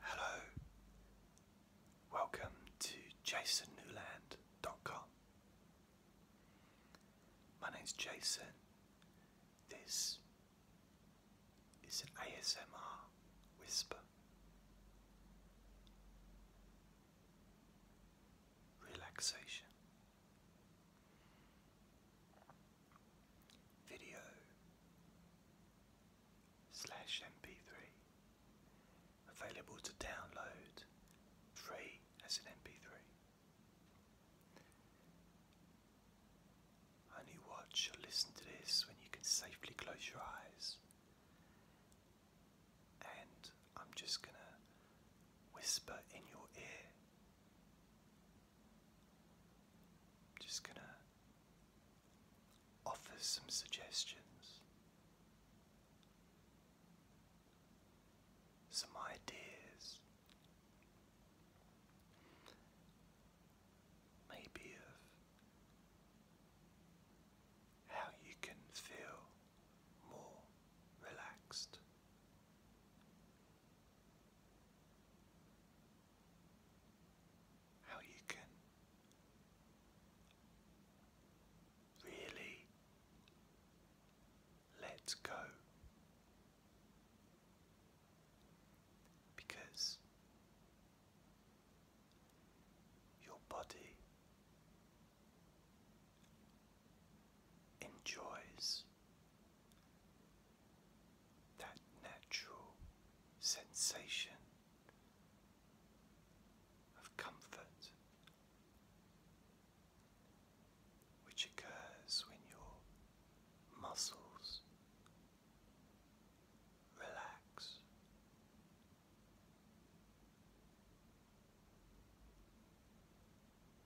Hello, welcome to jasonnewland.com. My name's Jason. This is an ASMR whisper. Relaxation video slash mp3 available to download free as an mp3 only watch or listen to this when you can safely close your eyes and i'm just gonna whisper in your ear I'm Just going to offer some suggestions, some ideas, maybe of how you can feel more relaxed how you can really let go because your body enjoys that natural sensation of comfort which occurs when your muscles relax.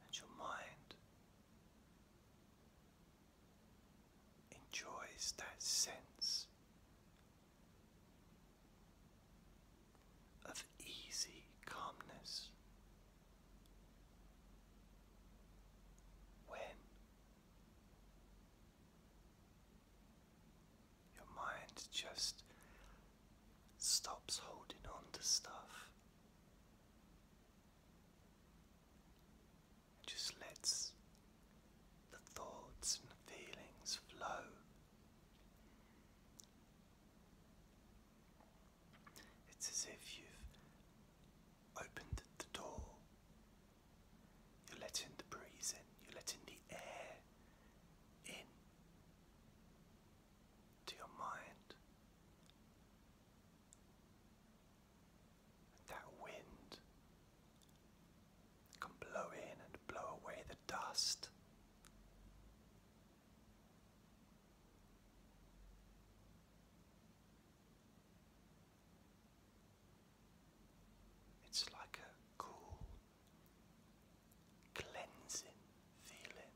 And your mind enjoys that sense of easy calmness when your mind just stops holding on to stuff it let lets the thoughts and feelings flow. It's as if you've opened the door. You're letting the breeze in, you're letting the air in to your mind. That wind can blow in and blow away the dust. It's like a cool, cleansing feeling.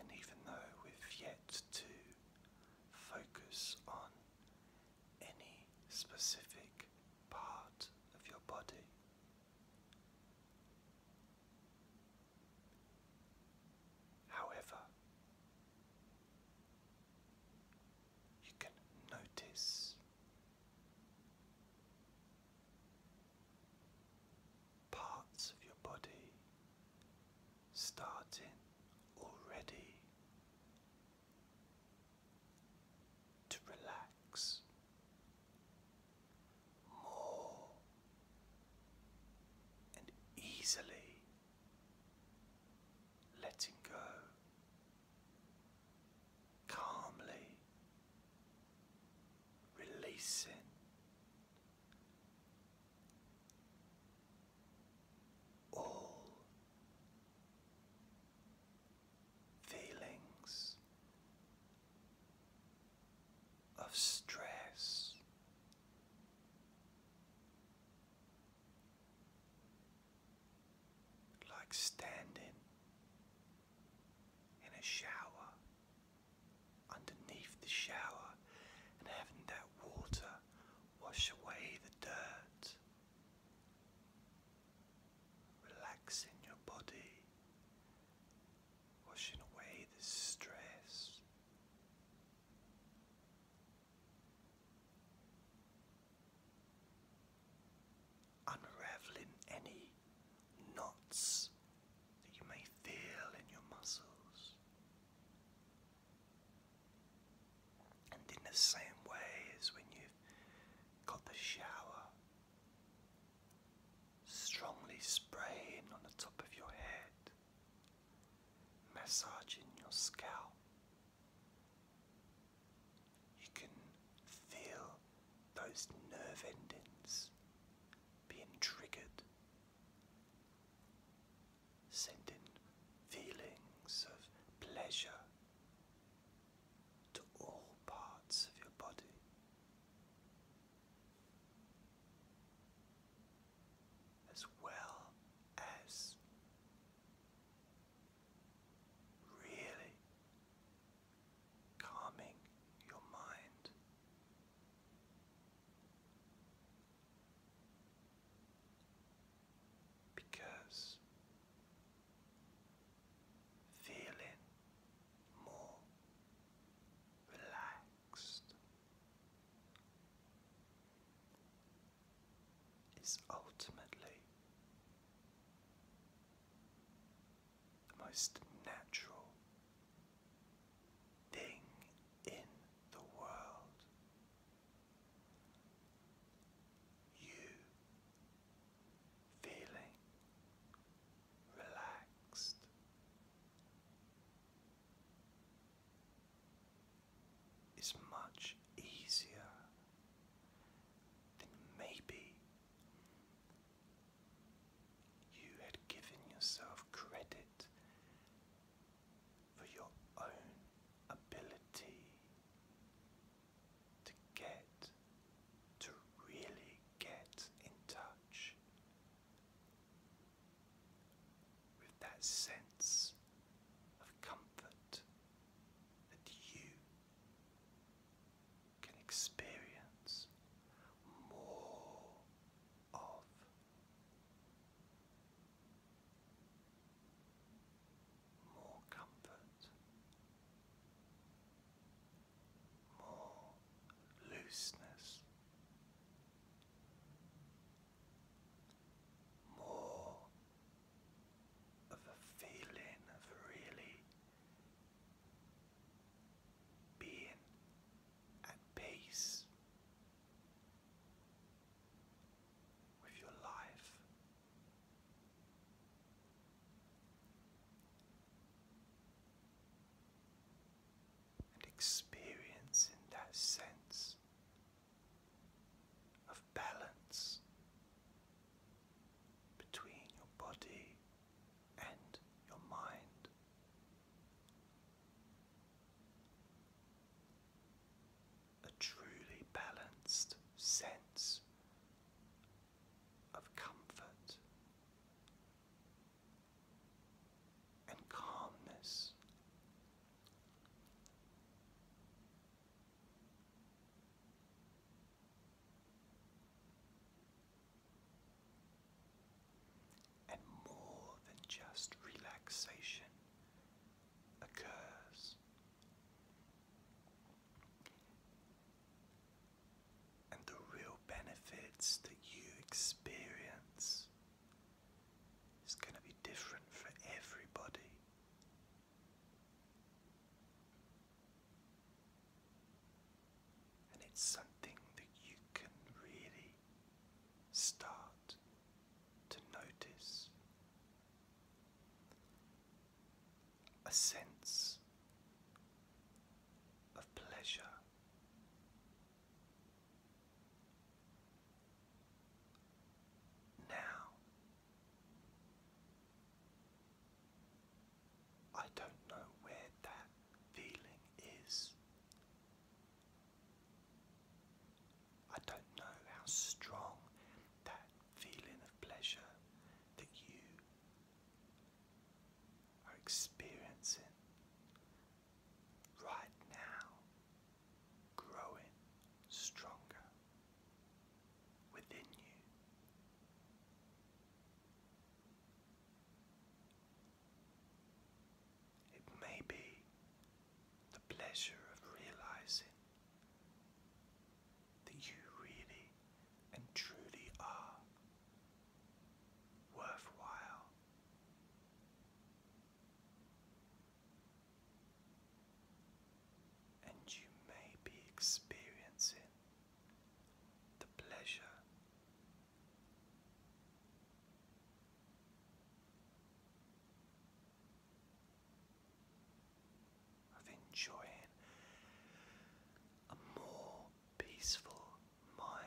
And even though we've yet to focus on any specific part of your body, however, you can notice parts of your body starting already to relax more and easily letting go calmly releasing. All feelings of stress, like standing in a shower, underneath the shower, and having that water wash away the dirt, relaxing your body, washing away the stress unraveling any knots that you may feel in your muscles. And in the same way as when you've got the shower strongly spraying on the top of your head, massaging your scalp you can feel those nerve endings being triggered, sending feelings of pleasure to all parts of your body. As well as really calming your mind. Because feeling more relaxed is ultimately the most natural thing in the world. You feeling relaxed is much easier than maybe you had given yourself credit for your own ability to get to really get in touch with that sense of comfort that you can experience more of. More comfort, more looseness, more of a feeling of really being at peace with your life. And experiencing that sense of balance between your body and your mind. A truly balanced sense of comfort and calmness and more than just relaxation occurs. And the real benefits that you experience it's going to be different for everybody. And it's something that you can really start to notice a sense of pleasure now, I don't know where that feeling is. I don't know how strong that feeling of pleasure that you are experiencing right now growing stronger within you. It may be the pleasure of realizing that you really and truly are worthwhile and you may be experiencing the pleasure of enjoying a more peaceful mind.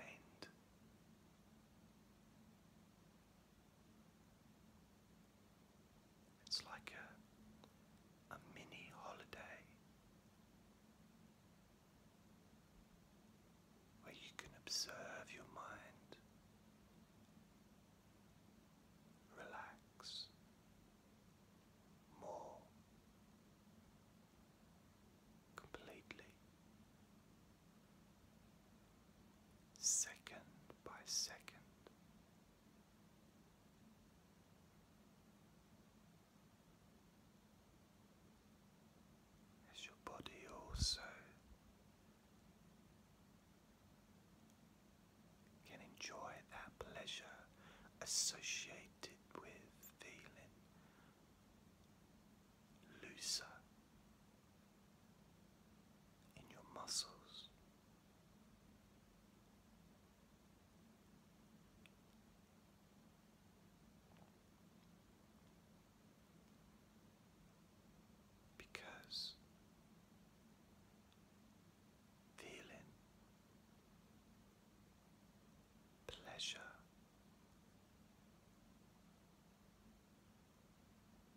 It's like a, a mini holiday where you can observe your mind, relax more completely second by second. As your body also can enjoy that pleasure associated with feeling looser in your muscles. Because feeling pleasure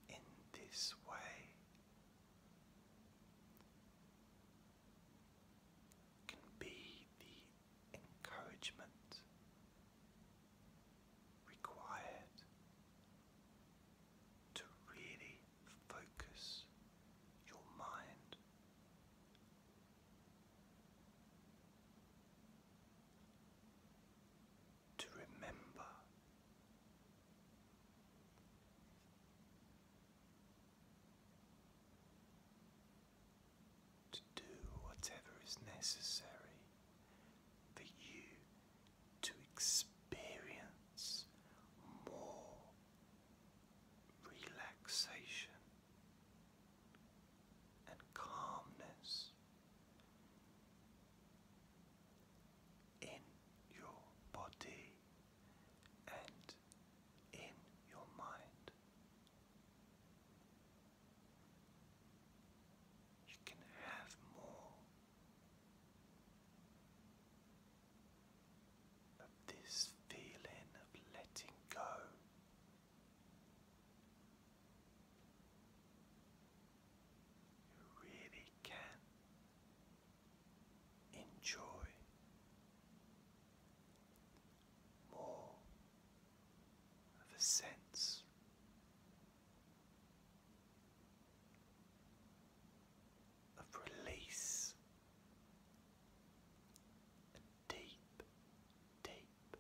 in this way can be the encouragement required to really focus your mind to remember. To do whatever is necessary for you to experience more relaxation and calmness in your body and in your mind. You can have more of this feeling of letting go you really can enjoy more of a sense of release, a deep, deep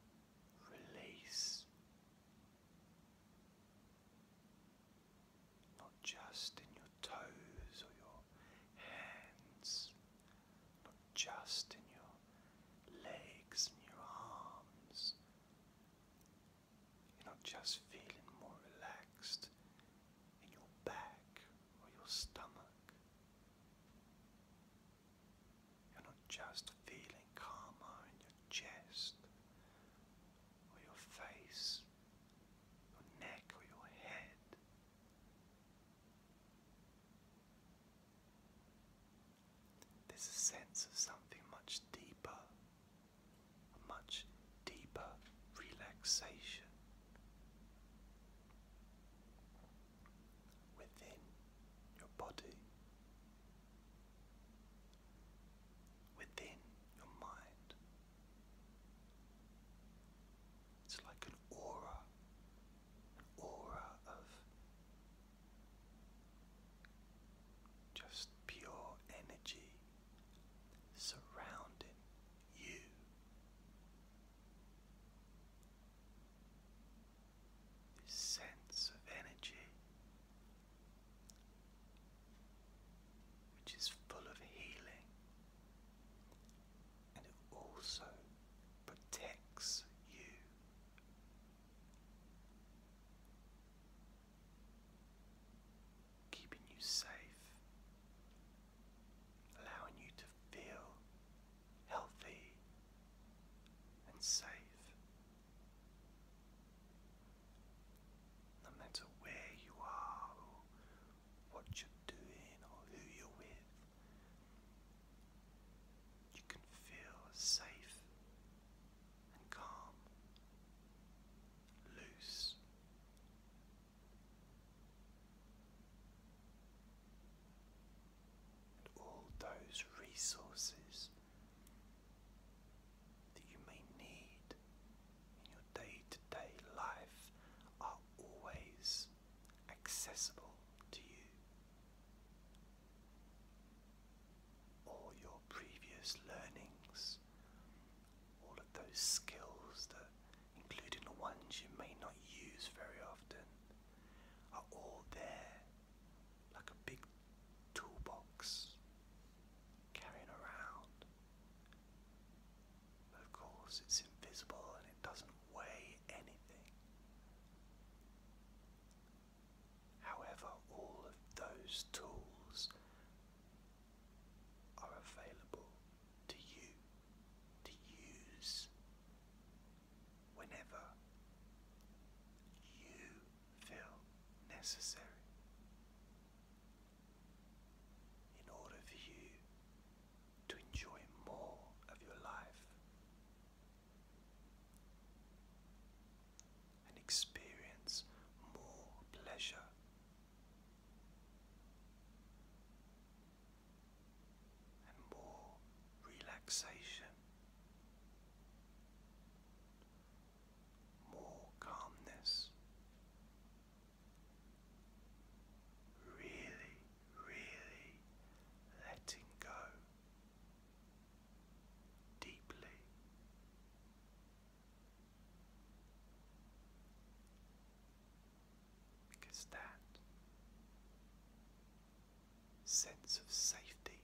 release not just in your toes or your hands, not just in your legs and your arms. You're not just feeling more relaxed in your back or your stomach. You're not just feeling calmer in your chest or your face, your neck or your head. There's a sense of something much deeper, much deeper relaxation within your body within your mind. It's like an aura, an aura of just pure energy surrounding you. sense of energy which is full of healing and it also protects you. Keeping you safe, allowing you to feel healthy and safe. No matter where you are, or what you're doing, or who you're with, you can feel safe and calm, loose. And all those resources that you may need in your day to day life are always accessible to you. All your previous learnings, all of those skills that, including the ones you may not use very often, are all there like a big toolbox carrying around. of course, it's invisible and it doesn't weigh anything. However, all of those tools are available to you to use whenever you feel necessary in order for you to enjoy more of your life and experience more pleasure. And more relaxation more calmness. Really, really letting go deeply. Because that sense of safety,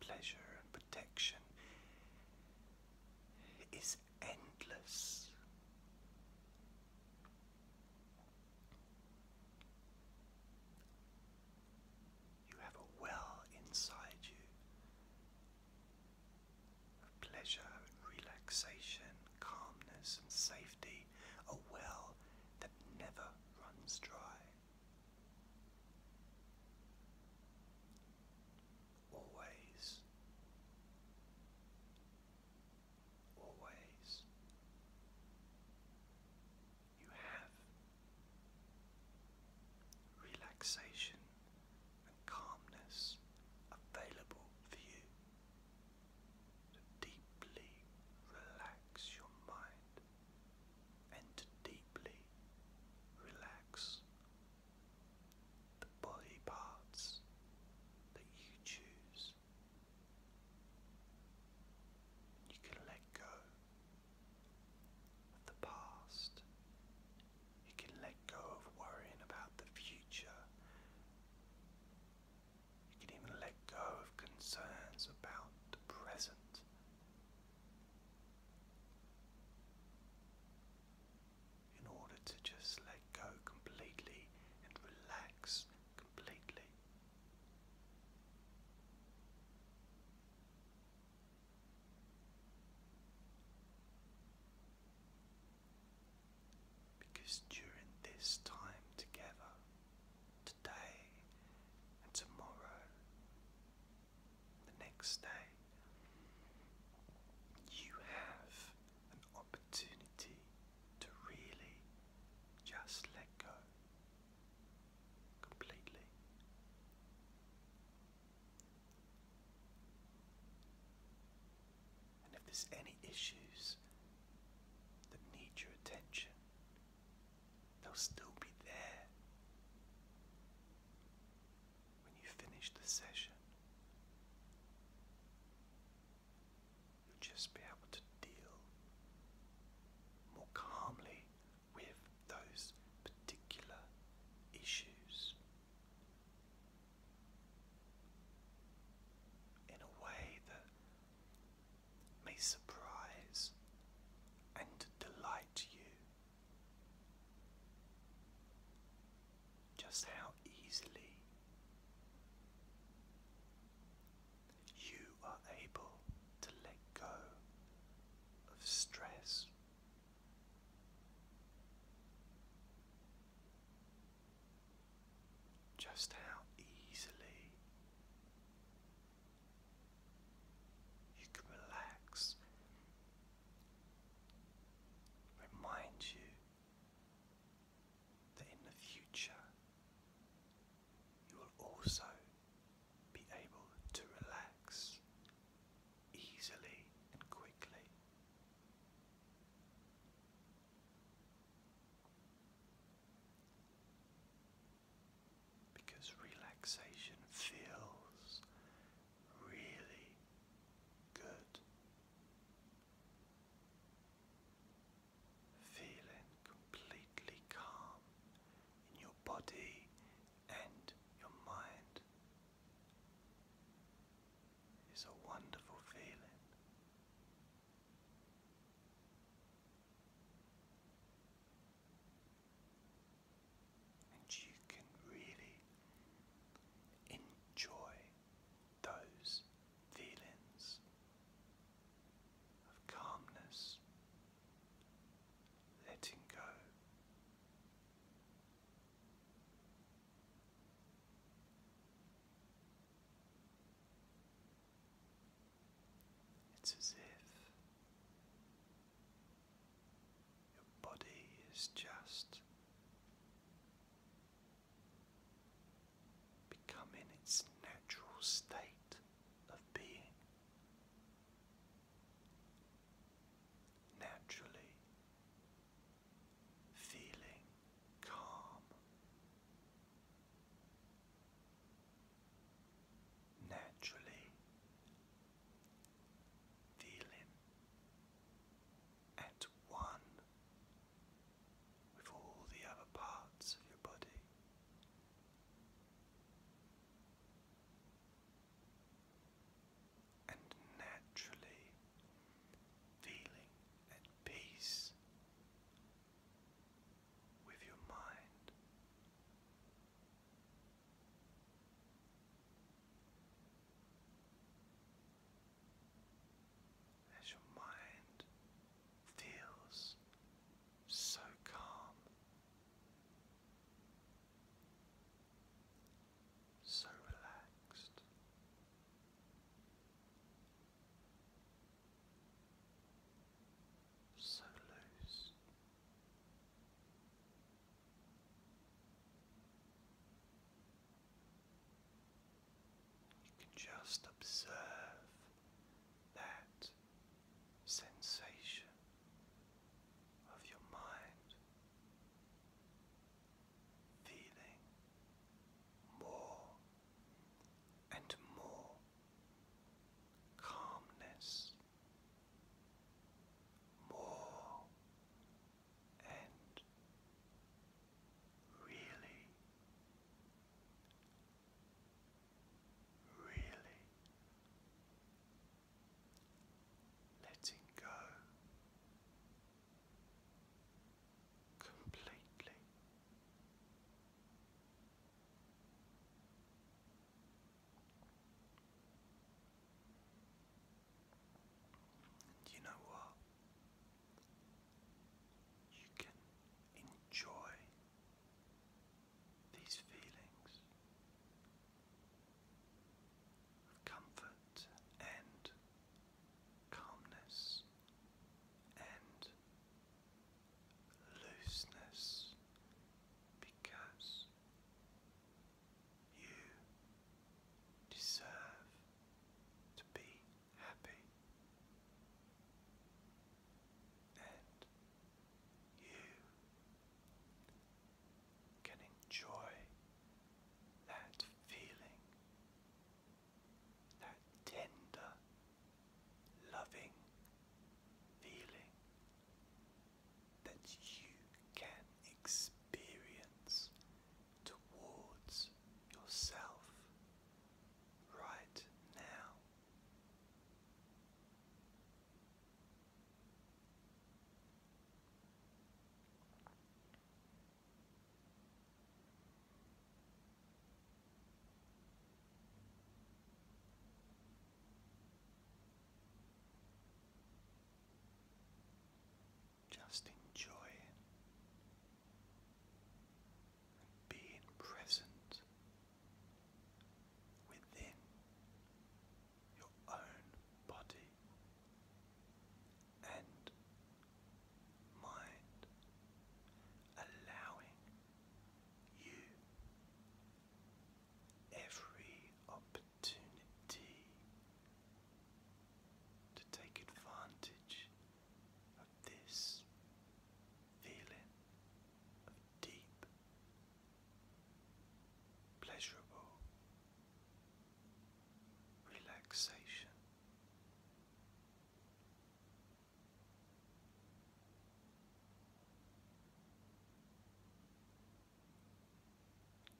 pleasure, and protection is endless. You have a well inside you of pleasure relaxation, calmness and safety, a well that never runs dry. Always, always, you have relaxation and calmness available for you to deeply relax your mind and deeply relax the body parts that you choose. You can let go of the past. You can let go of worrying about the future. You can even let go of concerns about the present in order to just let go completely and relax completely. Because during this time together, today and tomorrow, the next day, you have an opportunity to really just let go completely. And if there's any issues that need your attention, They'll still be there when you finish the session. You'll just be able to deal more calmly with those particular issues in a way that may surprise and delight you. Just how easily you are able to let go of stress. Just how easily you can relax. Remind you that in the future you will also be able to relax easily and quickly because relaxation feels really good. Feeling completely calm in your body and your mind is a wonderful feeling and you can really enjoy those feelings of calmness, letting go. It's as if your body is just becoming its natural state of being. Naturally feeling calm naturally feeling at one with all the other parts of your body. And naturally feeling at peace with your mind. As your mind feels so calm, so relaxed, so loose. You can just observe that sensation of your mind feeling more and more calmness, more and really, really letting go completely. You know what? You can enjoy these feelings of comfort and calmness and looseness because you deserve to be happy and you can enjoy that feeling that tender, loving feeling that you can experience towards yourself right now. Just enjoy it present within your own body and mind, allowing you. Every opportunity to take advantage of this feeling of deep, pleasurable relaxation.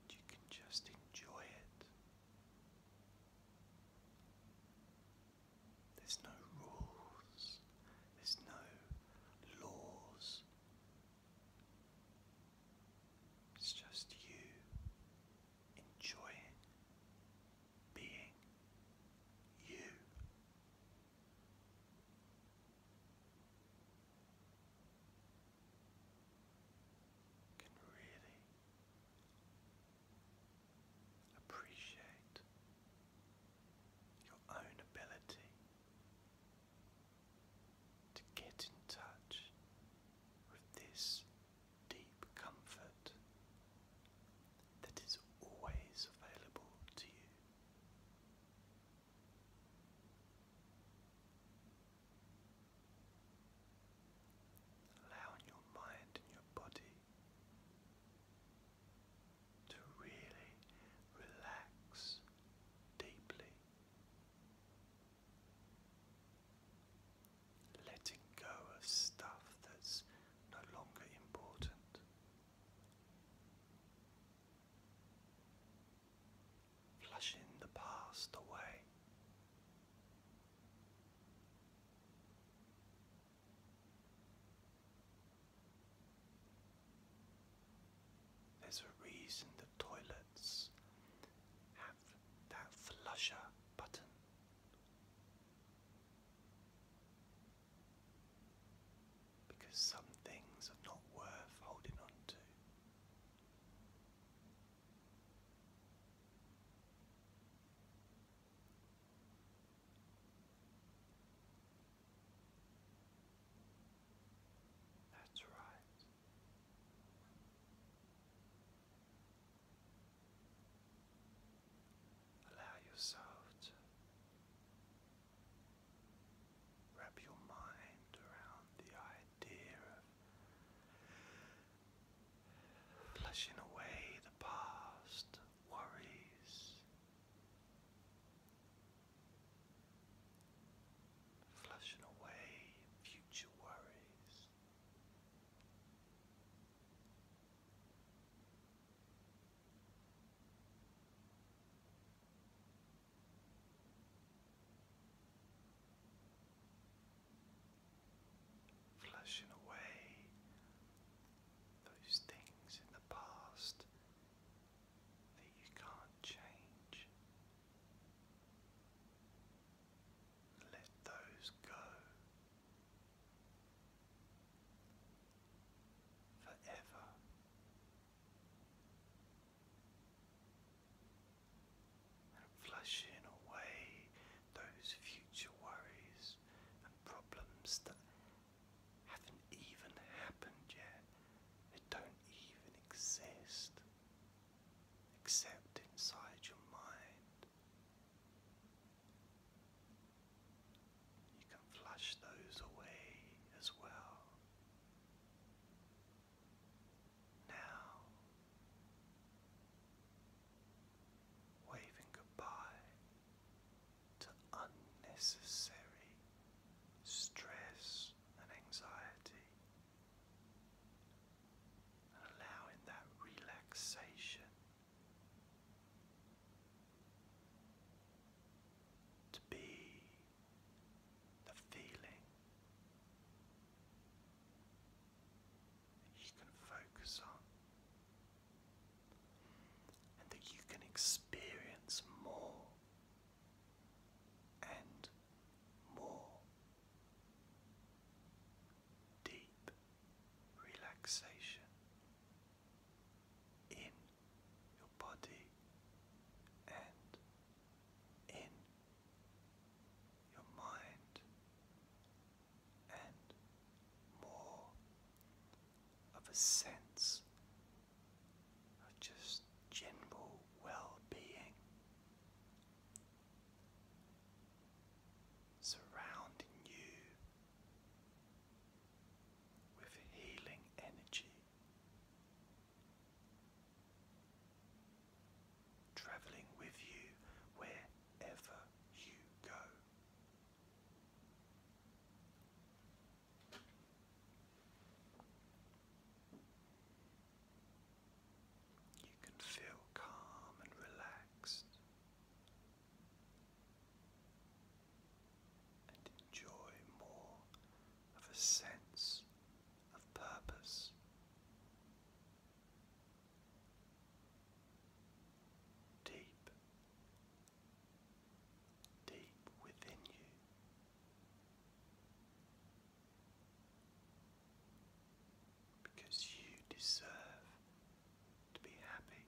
You can just enjoy it. There's no rules, there's no laws. It's just you enjoying being you. Can really appreciate your own ability to get in touch with this deep comfort that is always available to you. Allowing your mind and your body to really relax deeply, letting go of stuff that's no longer important. Flushing the past away. There's a reason the toilets have that flusher button. Because some things are not worth holding on to. That's right. Allow yourself to wrap your mind around the idea of flushing away the past worries, flushing away future worries. Flushing away those things in the past that you can't change. Let those go forever. flushing away those future worries and problems that haven't even happened yet, they don't even exist except inside your mind. You can flush those away as well. Now, waving goodbye to unnecessary stress and anxiety, and allowing that relaxation to be the feeling you can focus on and that you can experience more and more deep relaxation in your body and in your mind, and more of a sense of just general well being surrounding you with healing energy traveling with you wherever you go. You can feel calm and relaxed and enjoy more of a sense of purpose. Deep, deep within you. Because you deserve to be happy.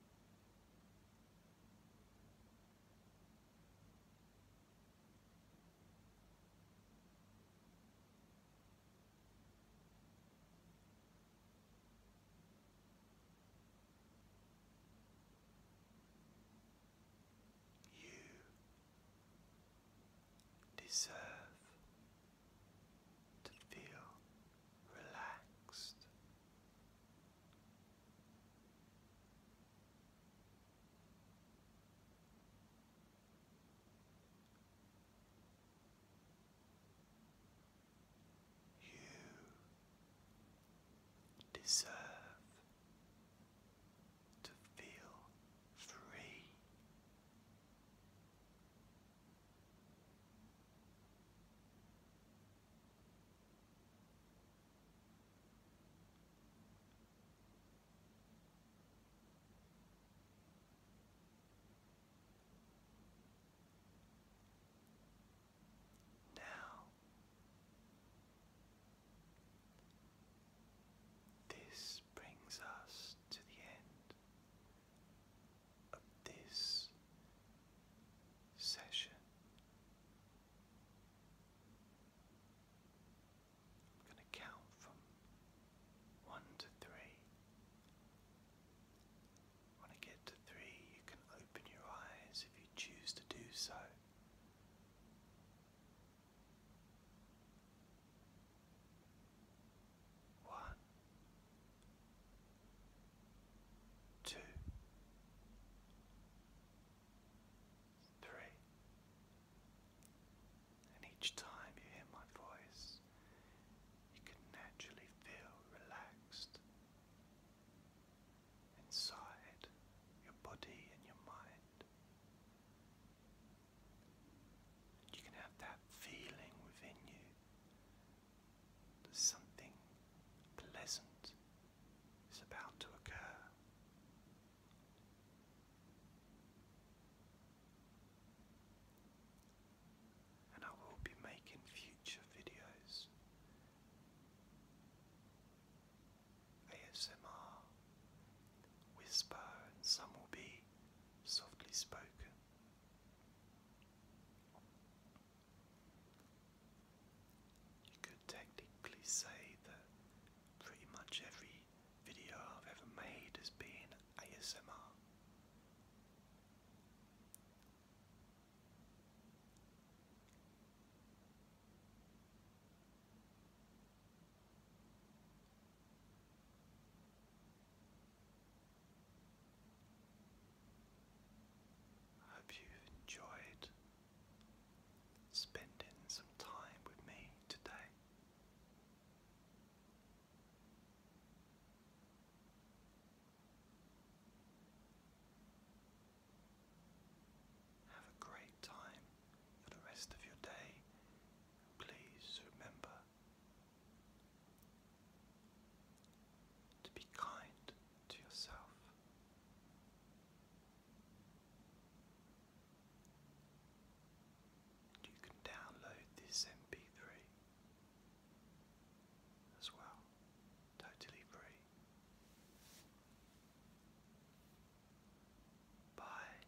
You deserve to feel relaxed. You deserve to feel free. Now, this brings us to the end of this session. I'm going to count from one to three. When I get to three, you can open your eyes if you choose to do so. One, two, three. And each time you hear my voice, you can naturally feel relaxed inside your body and your mind. You can have that feeling within you Something pleasant is about to occur. And I will be making future videos ASMR, whisper, and some will be softly spoken. You could technically say that pretty much every video I've ever made has been ASMR. I hope you've enjoyed spending some time with me today. Have a great time for the rest of your day. Please remember to be kind to yourself. You can download this MP3 as well, totally free. Bye.